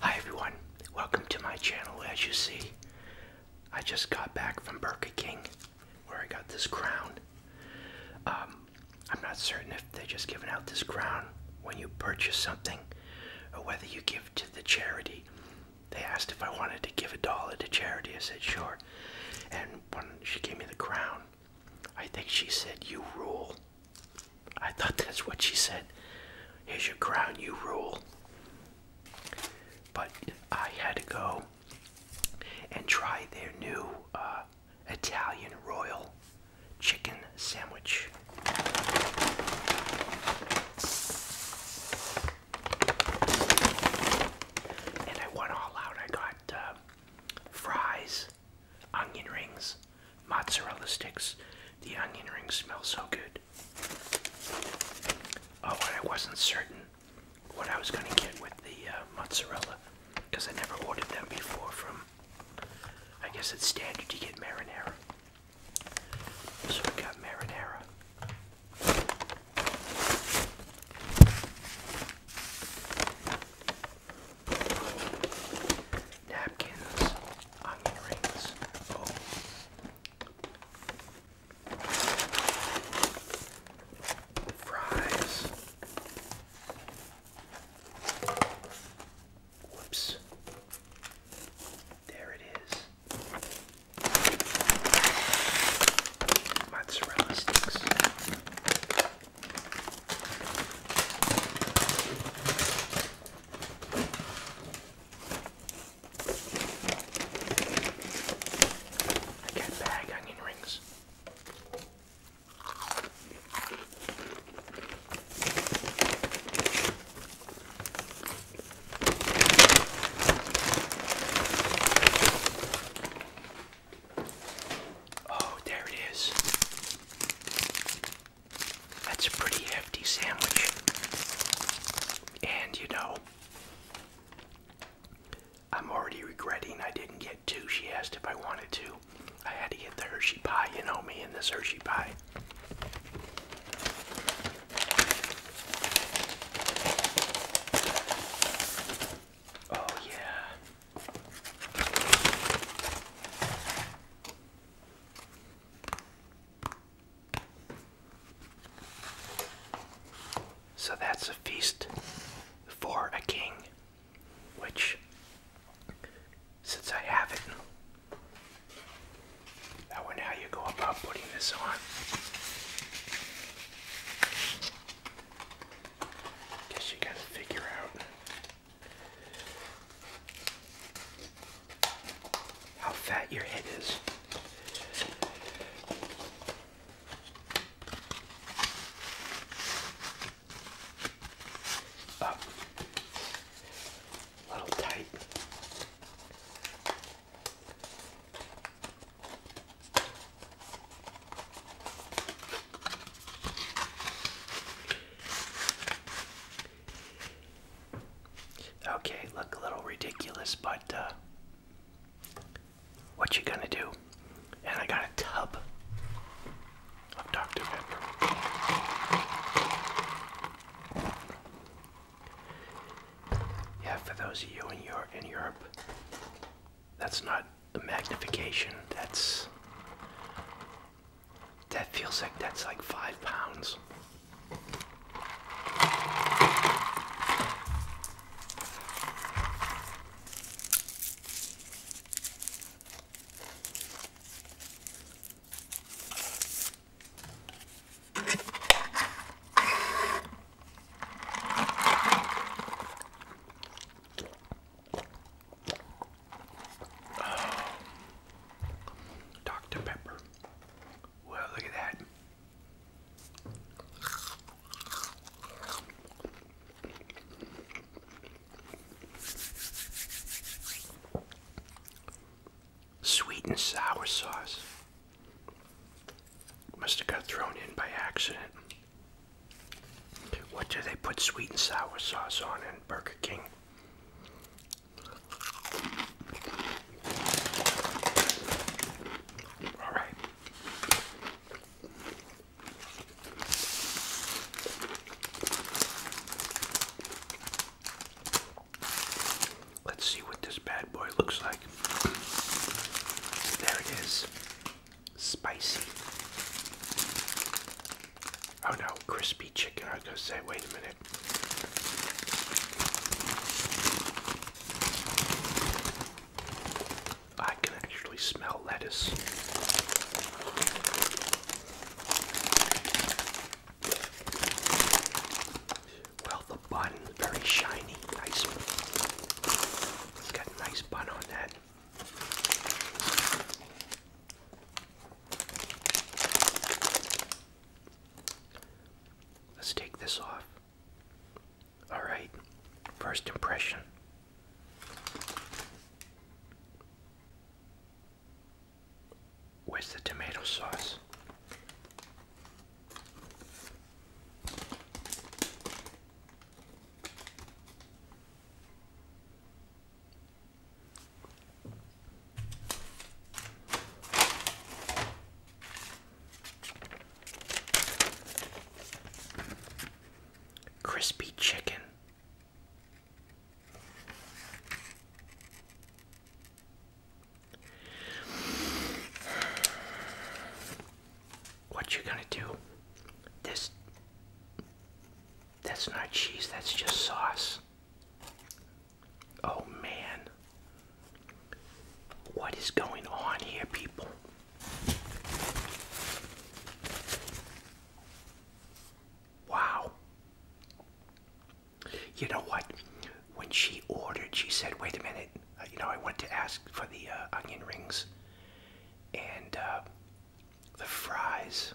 Hi everyone, welcome to my channel. As you see, I just got back from Burger King where I got this crown. Um, I'm not certain if they're just giving out this crown when you purchase something or whether you give to the charity. They asked if I wanted to give a dollar to charity. I said, sure. And when she gave me the crown, I think she said, you rule. I thought that's what she said. Here's your crown, you rule. But I had to go and try their new uh, Italian Royal Chicken Sandwich. And I went all out. I got uh, fries, onion rings, mozzarella sticks. The onion rings smell so good. Oh, I wasn't certain what I was going to get with the uh, mozzarella because I never ordered them before from, I guess it's standard to get marinara. So I got marinara. Napkins, onion rings, oh, Fries. Whoops. There it is. Mozzarella sticks. I get bag onion rings. Oh, there it is. That's a pretty hefty sandwich. And you know, I'm already regretting I didn't get two. She asked if I wanted to. I had to get the Hershey pie. You know me and the Hershey pie. Oh, yeah. So that's a feast for a king, which, since I have it, I wonder how you go about putting this on. Guess you gotta figure out how fat your head is. Up. A little tight. Okay, look a little ridiculous, but uh, what you gonna do? And I got a tub of Dr. Pepper. Yeah, for those of you in Europe, in Europe that's not the magnification. That's that feels like that's like five pounds. Oh. Dr. Pepper. Well, look at that. Sweet and sour sauce. Must have got thrown in by accident. What do they put sweet and sour sauce on in Burger King? All right. Let's see what this bad boy looks like. There it is. Spicy. Oh no, crispy chicken. I was going to say, wait a minute. I can actually smell lettuce. Well, the bun is very shiny, nice. It's got a nice bun on that. Let's take this off. Alright, first impression. Where's the tomato sauce? Crispy chicken. What you gonna do? This that's not cheese, that's just sauce. Oh man. What is going on here, people? Wow. You know what? When she ordered, she said, wait a minute. Uh, you know, I want to ask for the uh, onion rings and uh, the fries.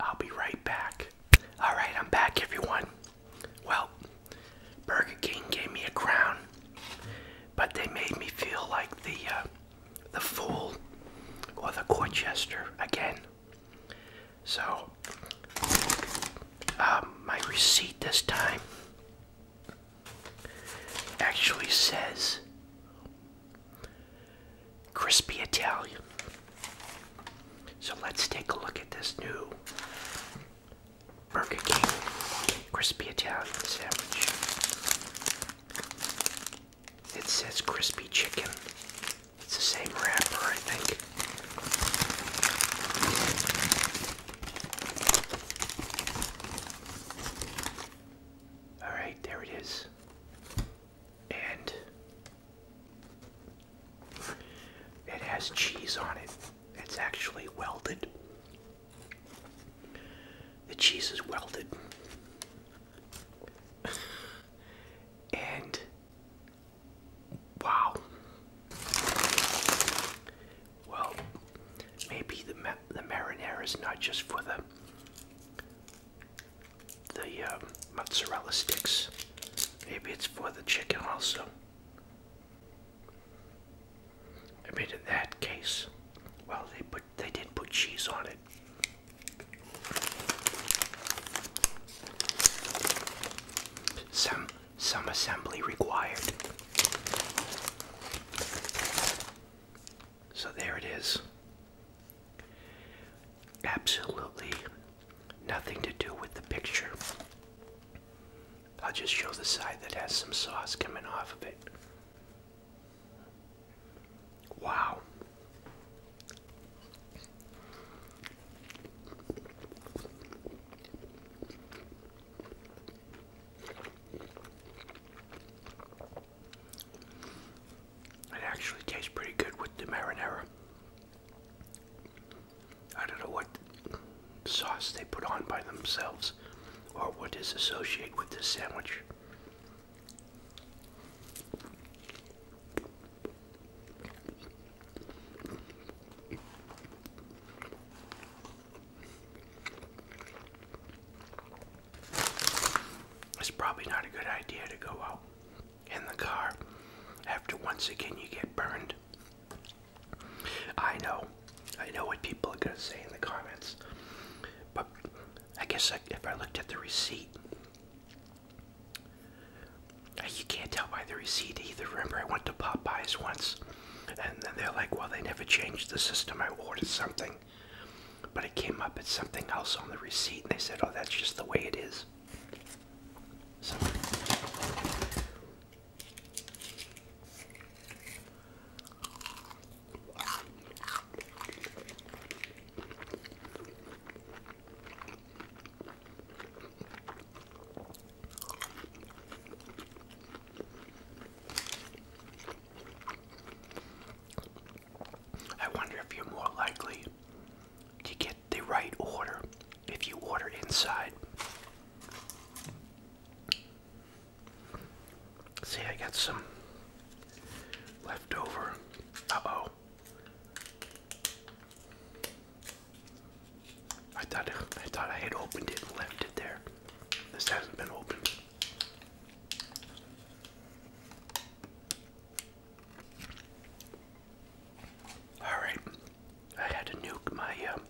I'll be right back. All right, I'm back, everyone. Well, Burger King gave me a crown, but they made me feel like the uh, the fool or the court jester again. So, um, my receipt this time actually says crispy Italian. So let's take a look at this new Burger King crispy Italian sandwich. It says crispy chicken it's the same wrapper, I think. All right, there it is. And it has cheese on it. It's actually welded. The cheese is welded. and Wow. Well, maybe the the marinara is not just for the the um, mozzarella sticks. Maybe it's for the chicken also. I mean, in that case, well, they put they did put cheese on it. Some some assembly required. So there it is. Absolutely nothing to do with the picture. I'll just show the side that has some sauce coming off of it. Wow. It actually tastes pretty good with the marinara. I don't know what sauce they put on by themselves or what is associated with this sandwich. It's probably not a good idea to go out in the car after once again you get burned. I know. I know what people are going to say in the comments. But I guess if I looked at the receipt, you can't tell by the receipt either. Remember, I went to Popeyes once, and then they're like, well, they never changed the system. I ordered something, but it came up as something else on the receipt, and they said, oh, that's just the way it is. I wonder if you're more likely to get the right order if you order inside. See, I got some leftover. Uh oh. I thought I thought I had opened it and left it there. This hasn't been opened. Alright, I had to nuke my um,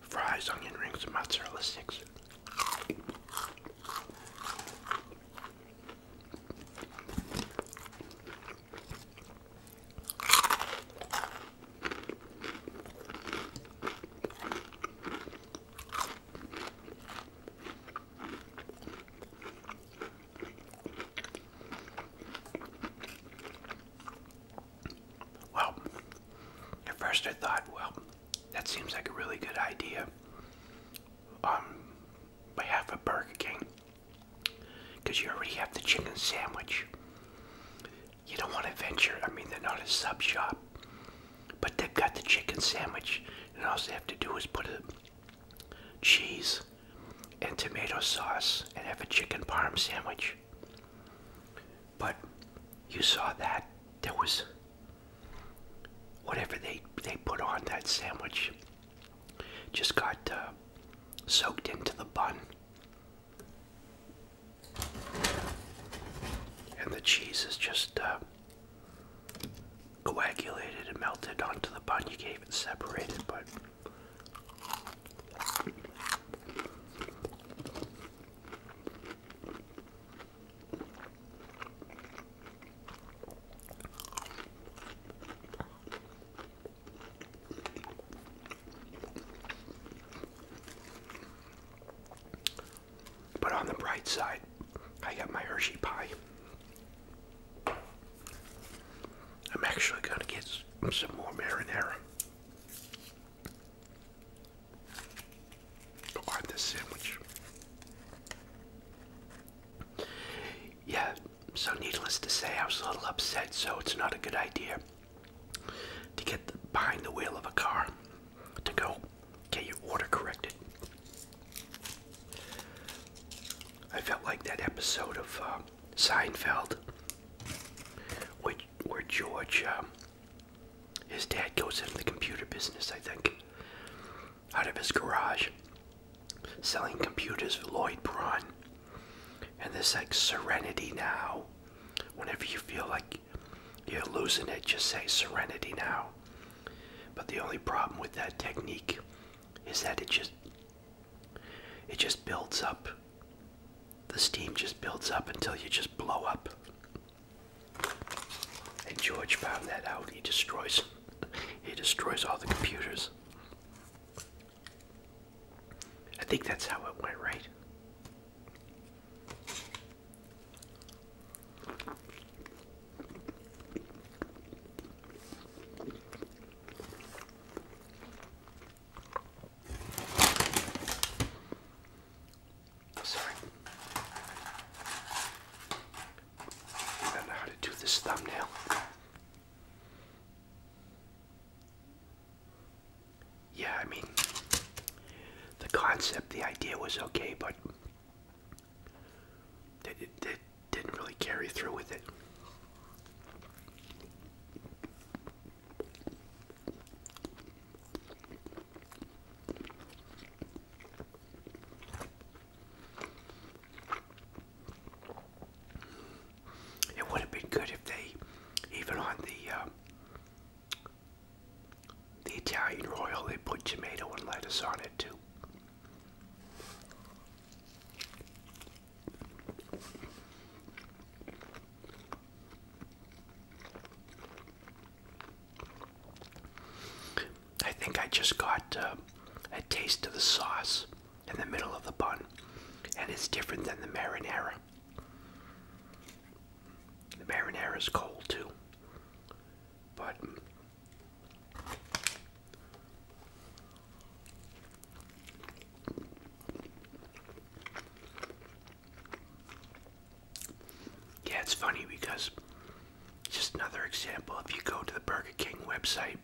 fries, onion rings, and mozzarella sticks. Well, at first I thought, well, that seems like a really good idea on um, behalf of Burger King. Because you already have the chicken sandwich. You don't want to venture. I mean, they're not a sub shop. But they've got the chicken sandwich. And all they have to do is put a cheese and tomato sauce and have a chicken parm sandwich. But you saw that. There was whatever they, they put on that sandwich just got uh, soaked into the bun and the cheese is just uh, coagulated and melted onto the bun you can't gave it separated but but on the bright side, I got my Hershey pie. I'm actually going to get some more marinara on this sandwich. Yeah, so, needless to say, I was a little upset, so it's not a good idea to get behind the wheel of a car to go get your order corrected. I felt like that episode of uh, Seinfeld where, where George, um, his dad goes into the computer business, I think, out of his garage selling computers for Lloyd Braun. And this like serenity now. Whenever you feel like you're losing it, just say serenity now. But the only problem with that technique is that it just it just builds up. The steam just builds up until you just blow up. And George found that out. He destroys he destroys all the computers. I think that's how it went, right? Oh, sorry. I don't know how to do this thumbnail. Yeah, I mean, the concept, the idea was okay, but it they didn't really carry through with it. It would have been good if they, even on the uh, the Italian Royal, they put tomato and lettuce on it too. I think I just got uh, a taste of the sauce in the middle of the bun, and it's different than the marinara. The marinara is cold too, but yeah, it's funny because just another example if you go to the Burger King website,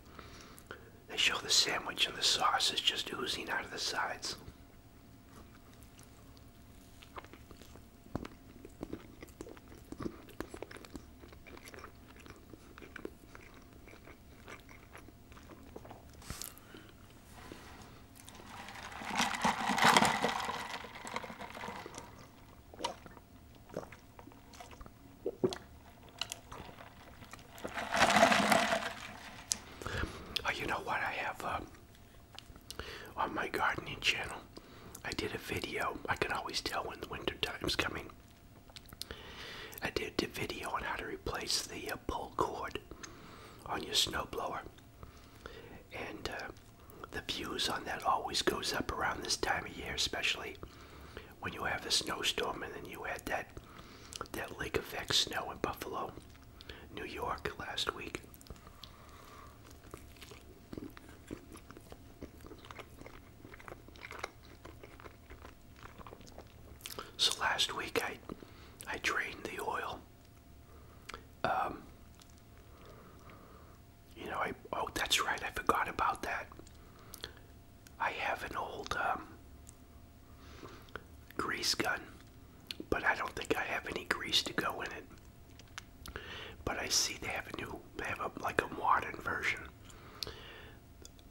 they show the sandwich and the sauce is just oozing out of the sides. Oh, you know what? I have um, on my gardening channel. I did a video. I can always tell when the winter time's coming. I did a video on how to replace the uh, pull cord on your snowblower, and uh, the views on that always goes up around this time of year, especially when you have a snowstorm and then you had that that lake effect snow in Buffalo, New York last week. So last week I I drained the oil. Um, you know, I oh that's right, I forgot about that. I have an old um, grease gun, but I don't think I have any grease to go in it. But I see they have a new, they have a, like a modern version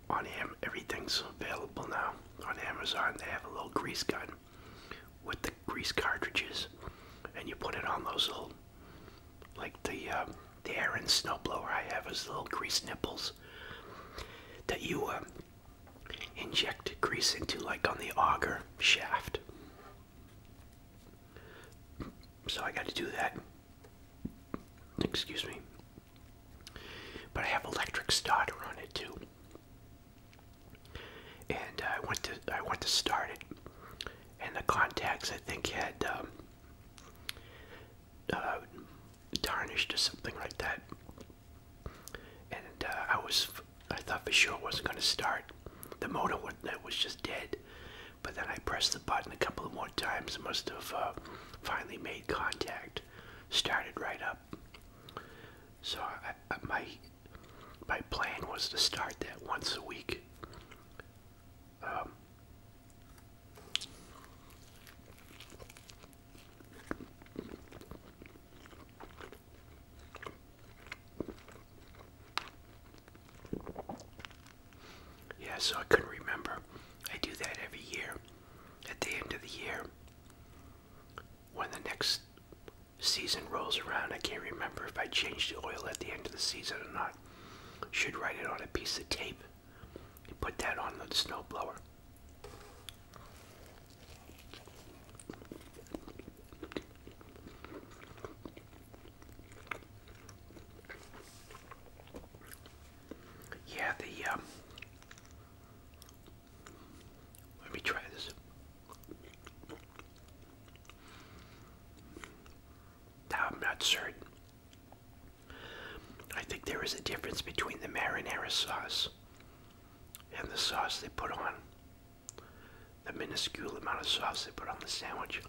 on Am. Everything's available now on Amazon. They have a little grease gun with the grease cartridges, and you put it on those little like the uh, the Aran snowblower I have is little grease nipples that you um, inject grease into, like on the auger shaft. So I got to do that. Excuse me. But I have electric starter on it too, and I went to I went to start it, and the contacts I think had um, uh, tarnished or something like that. And uh, I was, I thought for sure it wasn't going to start. The motor was, it was just dead. But then I pressed the button a couple of more times and must have uh, finally made contact. Started right up. So I, I, my my plan was to start that once a week. Um, yeah, so I couldn't remember. I do that every year at the end of the year. When the next season rolls around, I can't remember if I changed the oil at the end of the season or not. Should write it on a piece of tape you put that on the snowblower. Yeah, the um, let me try this. i not certain. I think there is a difference between the marinara sauce and the sauce they put on the minuscule amount of sauce they put on the sandwich.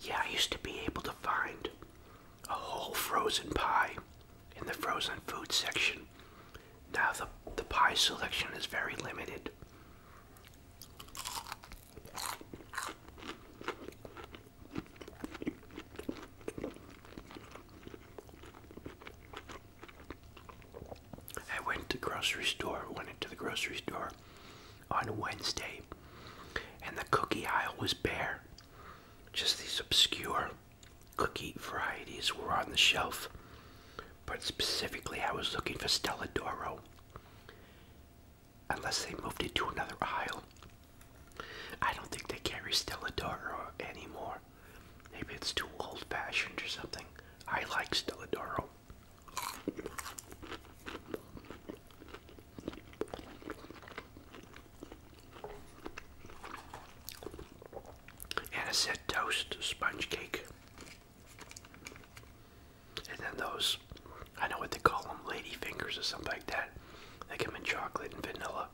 Yeah, I used to be able to find a whole frozen pie in the frozen food section. Now the, the pie selection is very limited. I went to the grocery store, went into the grocery store on Wednesday, and the cookie aisle was bare. Just these obscure cookie varieties were on the shelf, but specifically I was looking for Stella Doro. Unless they moved it to another aisle. I don't think they carry Stella Doro anymore. Maybe it's too old fashioned or something. I like Stelladoro. And I said toast sponge cake. And then those, I know what they call them, lady fingers or something like that. They come in chocolate and vanilla.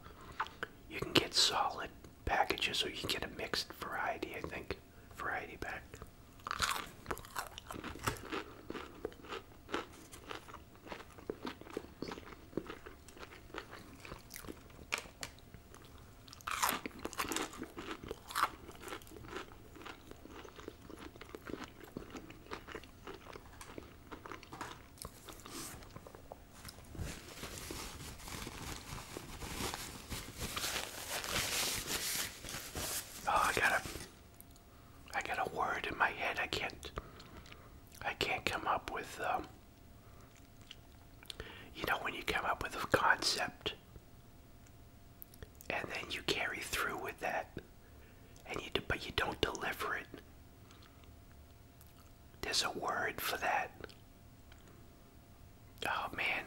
You can get solid packages or you can get a mixed variety, I think variety pack. Oh, I got a, I got a word in my head. I can't, I can't come up with. Um, you know, when you come up with a concept, and then you carry through with that, and you but you don't deliver it. There's a word for that. Oh man,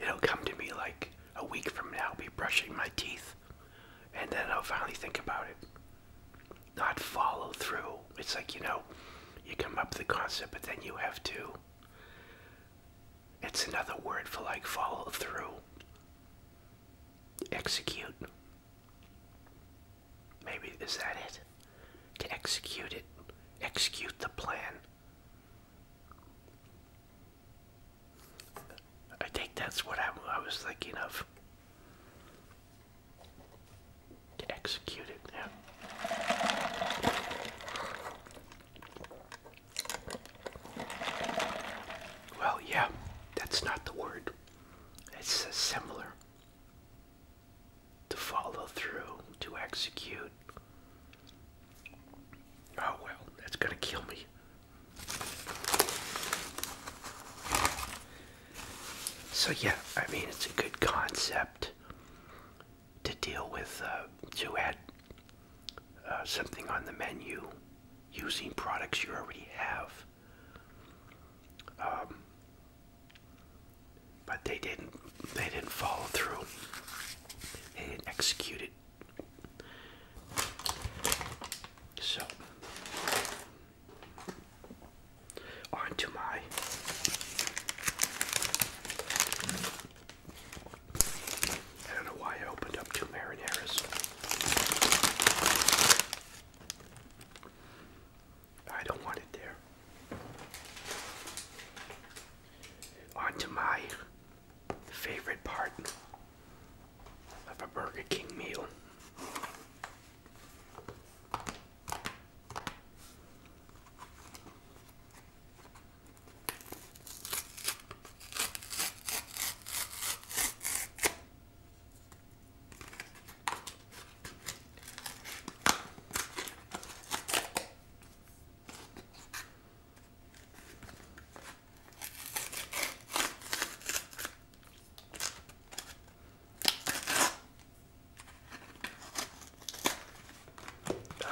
it'll come to me like a week from now, I'll be brushing my teeth, and then I'll finally think about it. Not follow through. It's like, you know, you come up with the concept, but then you have to. It's another word for like follow through. Execute. Maybe is that it? To execute it. Execute the plan. I think that's what I, was thinking of. To yeah. Well, yeah, that's not the word. It's similar to follow through, to execute. Oh well, that's gonna kill me. So, yeah, I mean, it's a good concept to deal with, uh, to add uh, something on the menu using products you already have. Um, but they didn't they didn't follow through. They didn't execute it. So on to my I don't know why I opened up two marinaras. I don't want it there. Onto my favorite part of a Burger King meal.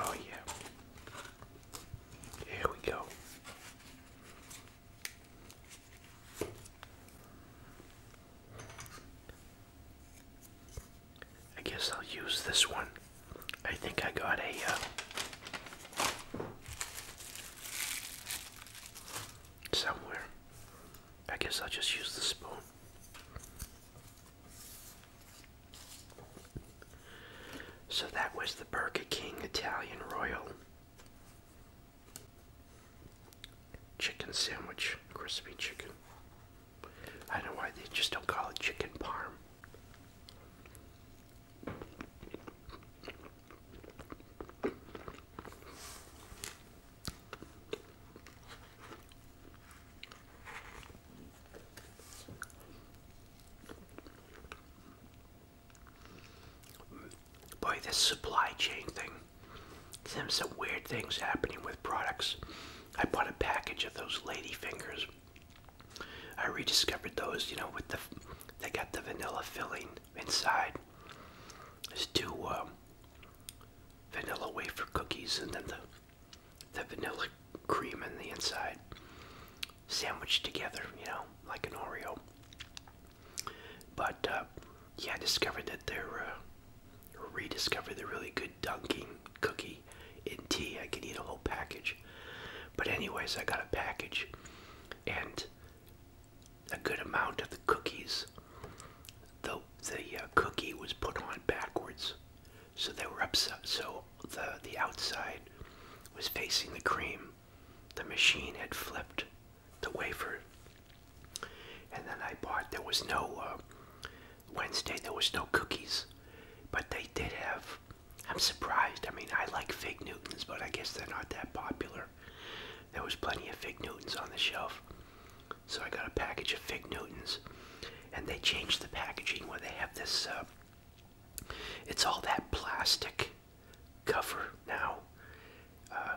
Oh, yeah. Here we go. I guess I'll use this one. I think I got a uh, somewhere. I guess I'll just use the spoon. So that was the Burger King Italian Royal Chicken Sandwich, crispy chicken. I don't know why they just don't call it chicken parm. Boy, this supply chain thing. There's some weird things happening with products. I bought a package of those lady fingers. I rediscovered those, you know, with the they got the vanilla filling inside. There's two um, vanilla wafer cookies and then the the vanilla cream in the inside, sandwiched together, you know, like an Oreo. But uh, yeah, I discovered that they're uh, Rediscover the really good dunking cookie in tea. I can eat a whole package. But, anyways, I got a package and a good amount of the cookies. The, the uh, cookie was put on backwards. So they were upset. so the, the outside was facing the cream. The machine had flipped the wafer. And then I bought, there was no uh, Wednesday there was no cookies, but they did have. I'm surprised. I mean, I like fig Newtons, but I guess they're not that popular. There was plenty of fig Newtons on the shelf, so I got a package of fig Newtons, and they changed the packaging where they have this. Uh, it's all that plastic cover now uh,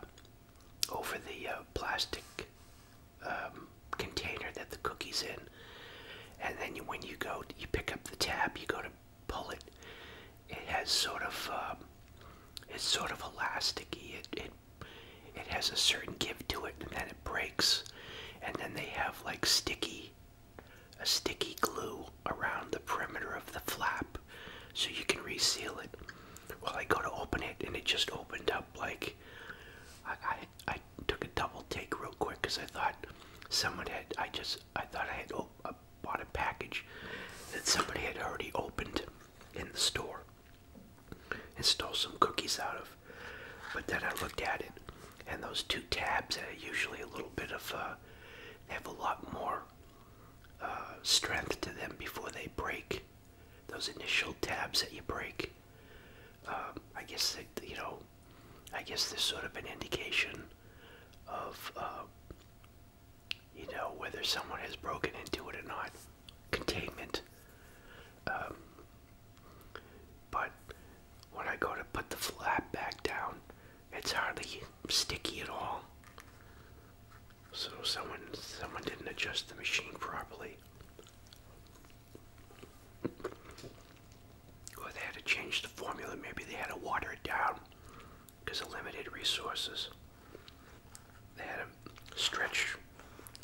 over the uh, plastic um, container that the cookie's in. And then when you go, you pick up the tab, you go to pull it. It has sort of, um, it's sort of elasticy. It, it, it has a certain give to it, and then it breaks. And then they have like sticky, a sticky glue around the perimeter of the flap, so you can reseal it. Well, I go to open it, and it just opened up like I, I took a double take real quick because I thought someone had. I just I thought I had I bought a package that somebody had already opened in the store and stole some cookies out of. But then I looked at it, and those two tabs are usually a little bit of. Uh, they have a lot more uh, strength to them before they break. Those initial tabs that you break. Um, I guess you know, I guess there's sort of an indication of, um, you know, whether someone has broken into it or not. Containment. Um, but when I go to put the flap back down, it's hardly sticky at all. So someone someone didn't adjust the machine properly. Or they had to change the formula. Maybe they had to water it down because of limited resources. They had to stretch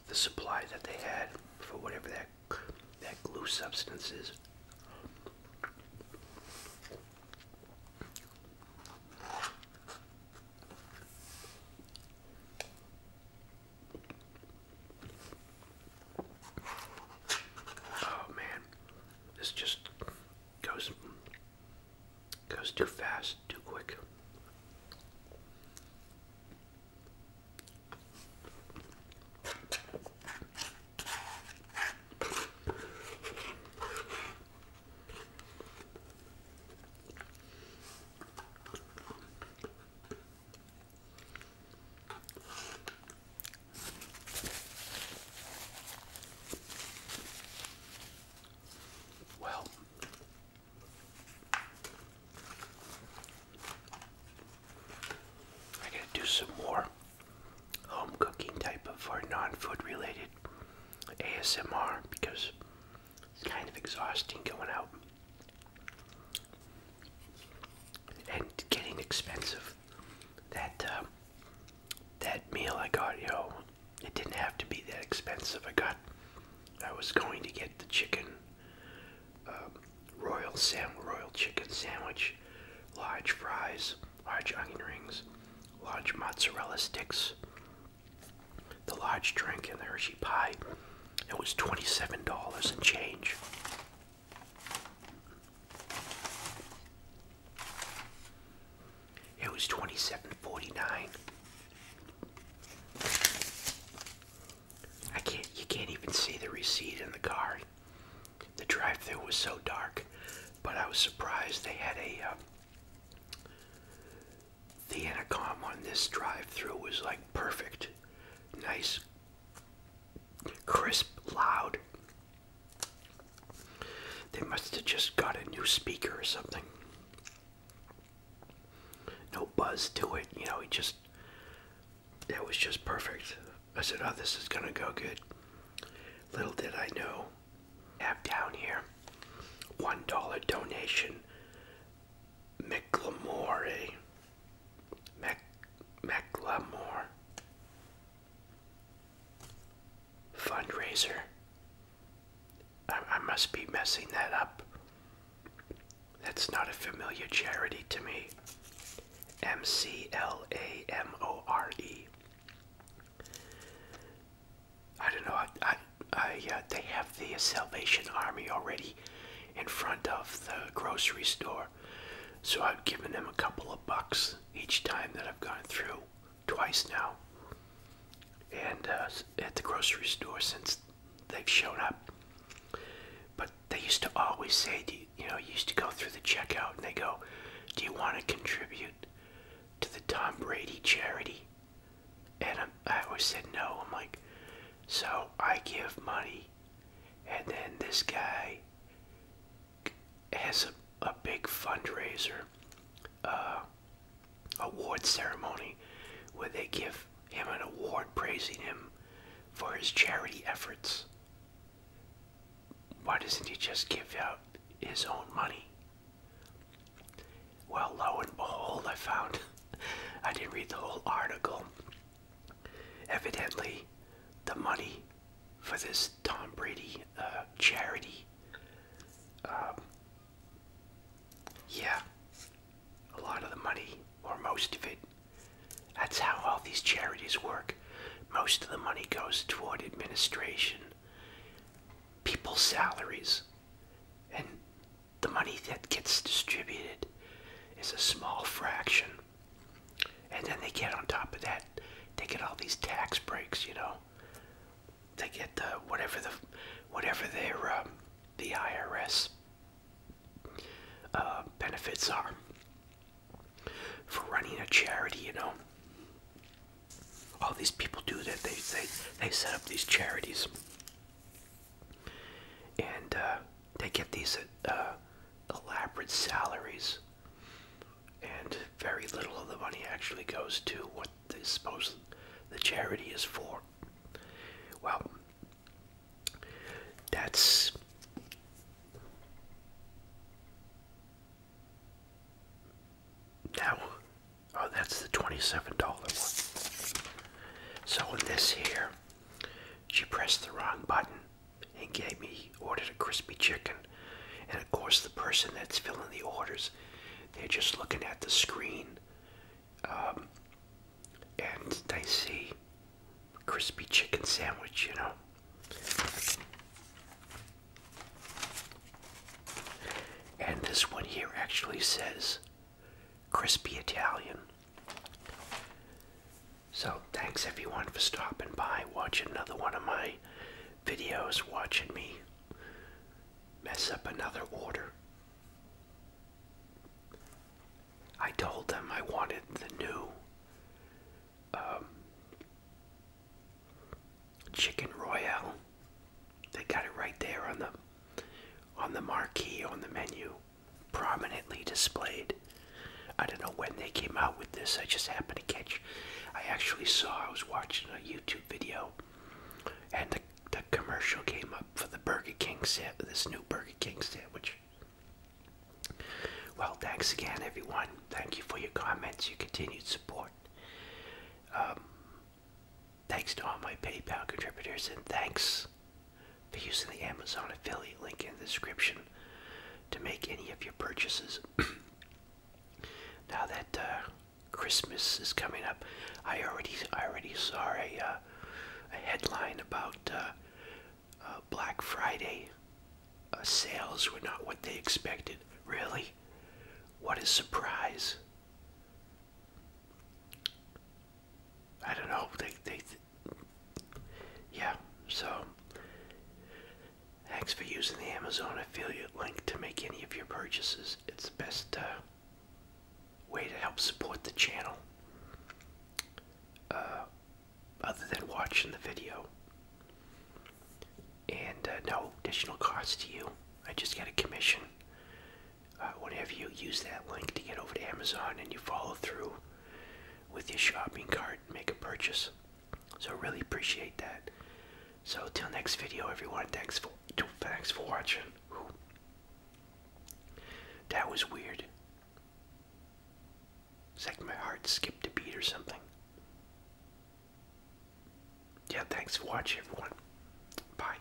the supply that they had for whatever that that glue substance is. Oh man, this just goes goes too fast, too quick. Well, I gotta do some more home cooking type of or non-food related ASMR because it's kind of exhausting going out and getting expensive. That um, that meal I got, you know, it didn't have to be that expensive. I got, I was going to get the chicken, um, royal sam, royal chicken sandwich, large fries, large onion rings, large mozzarella sticks, the large drink, and the Hershey pie. It was $27 and change. It was $27.49. I can't you can't even see the receipt in the car. The drive through was so dark, but I was surprised they had a uh, the intercom on this drive through was like perfect nice, crisp, loud. They must have just got a new speaker or something. No buzz to it, you know, it just, that was just perfect. I said, oh, this is gonna go good. Little did I know, have down here, $1 donation, McLemore, Mac McLemore fundraiser. I, I must be messing that up. That's not a familiar charity to me. M C L A M O R E. I don't know. I, I, I uh, they have the Salvation Army already in front of the grocery store. So I've given them a couple of bucks each time that I've gone through, twice now, and uh, at the grocery store since they've shown up. But they used to always say, you, you know, you used to go through the checkout and they go, do you want to contribute to the Tom Brady charity? And I'm, I always said no. I'm like, so I give money, and then this guy has a, big fundraiser uh, award ceremony where they give him an award praising him for his charity efforts. Why doesn't he just give out his own money? Well, lo and behold, I found I didn't read the whole article. Evidently, the money for this Tom Brady uh, charity, um, yeah, a lot of the money, or most of it, that's how all these charities work. Most of the money goes toward administration, people's salaries, and the money that gets distributed is a small fraction. And then they get on top of that, they get all these tax breaks, you know. They get the whatever the whatever their um, the IRS uh, benefits are for running a charity, you know. All these people do that. They they they set up these charities and uh, they get these uh, elaborate salaries, and very little of the money actually goes to what they suppose the charity is for. Well, that's now. Oh, that's the twenty-seven dollar one. So in this here, she pressed the wrong button and gave me ordered a crispy chicken. And of course, the person that's filling the orders, they're just looking at the screen, um, and they see crispy chicken sandwich, you know. And this one here actually says crispy Italian. So, thanks everyone for stopping by, watching another one of my videos, watching me mess up another order. I told them I wanted the new um, chicken royale. They got it right there on the on the marquee on the menu prominently displayed. I don't know when they came out with this. I just happened to catch. I actually saw. I was watching a YouTube video, and the, the commercial came up for the Burger King set. This new Burger King set, which. Well, thanks again, everyone. Thank you for your comments, your continued support. Um, Thanks to all my PayPal contributors and thanks for using the Amazon affiliate link in the description to make any of your purchases. now that uh, Christmas is coming up, I already I already saw a, uh, headline about uh, Black Friday sales were not what they expected. Really? What a surprise! I don't know. They, they, yeah. So, thanks for using the Amazon affiliate link to make any of your purchases. It's the best uh, way to help support the channel, uh, other than watching the video. And uh, no additional cost to you. I just get a commission uh, whenever you use that link to get over to Amazon and you follow through with your shopping cart and make a purchase. So really appreciate that. So till next video, everyone. Thanks for thanks for watching. That was weird. It's like my heart skipped a beat or something. Yeah, thanks for watching, everyone. Bye.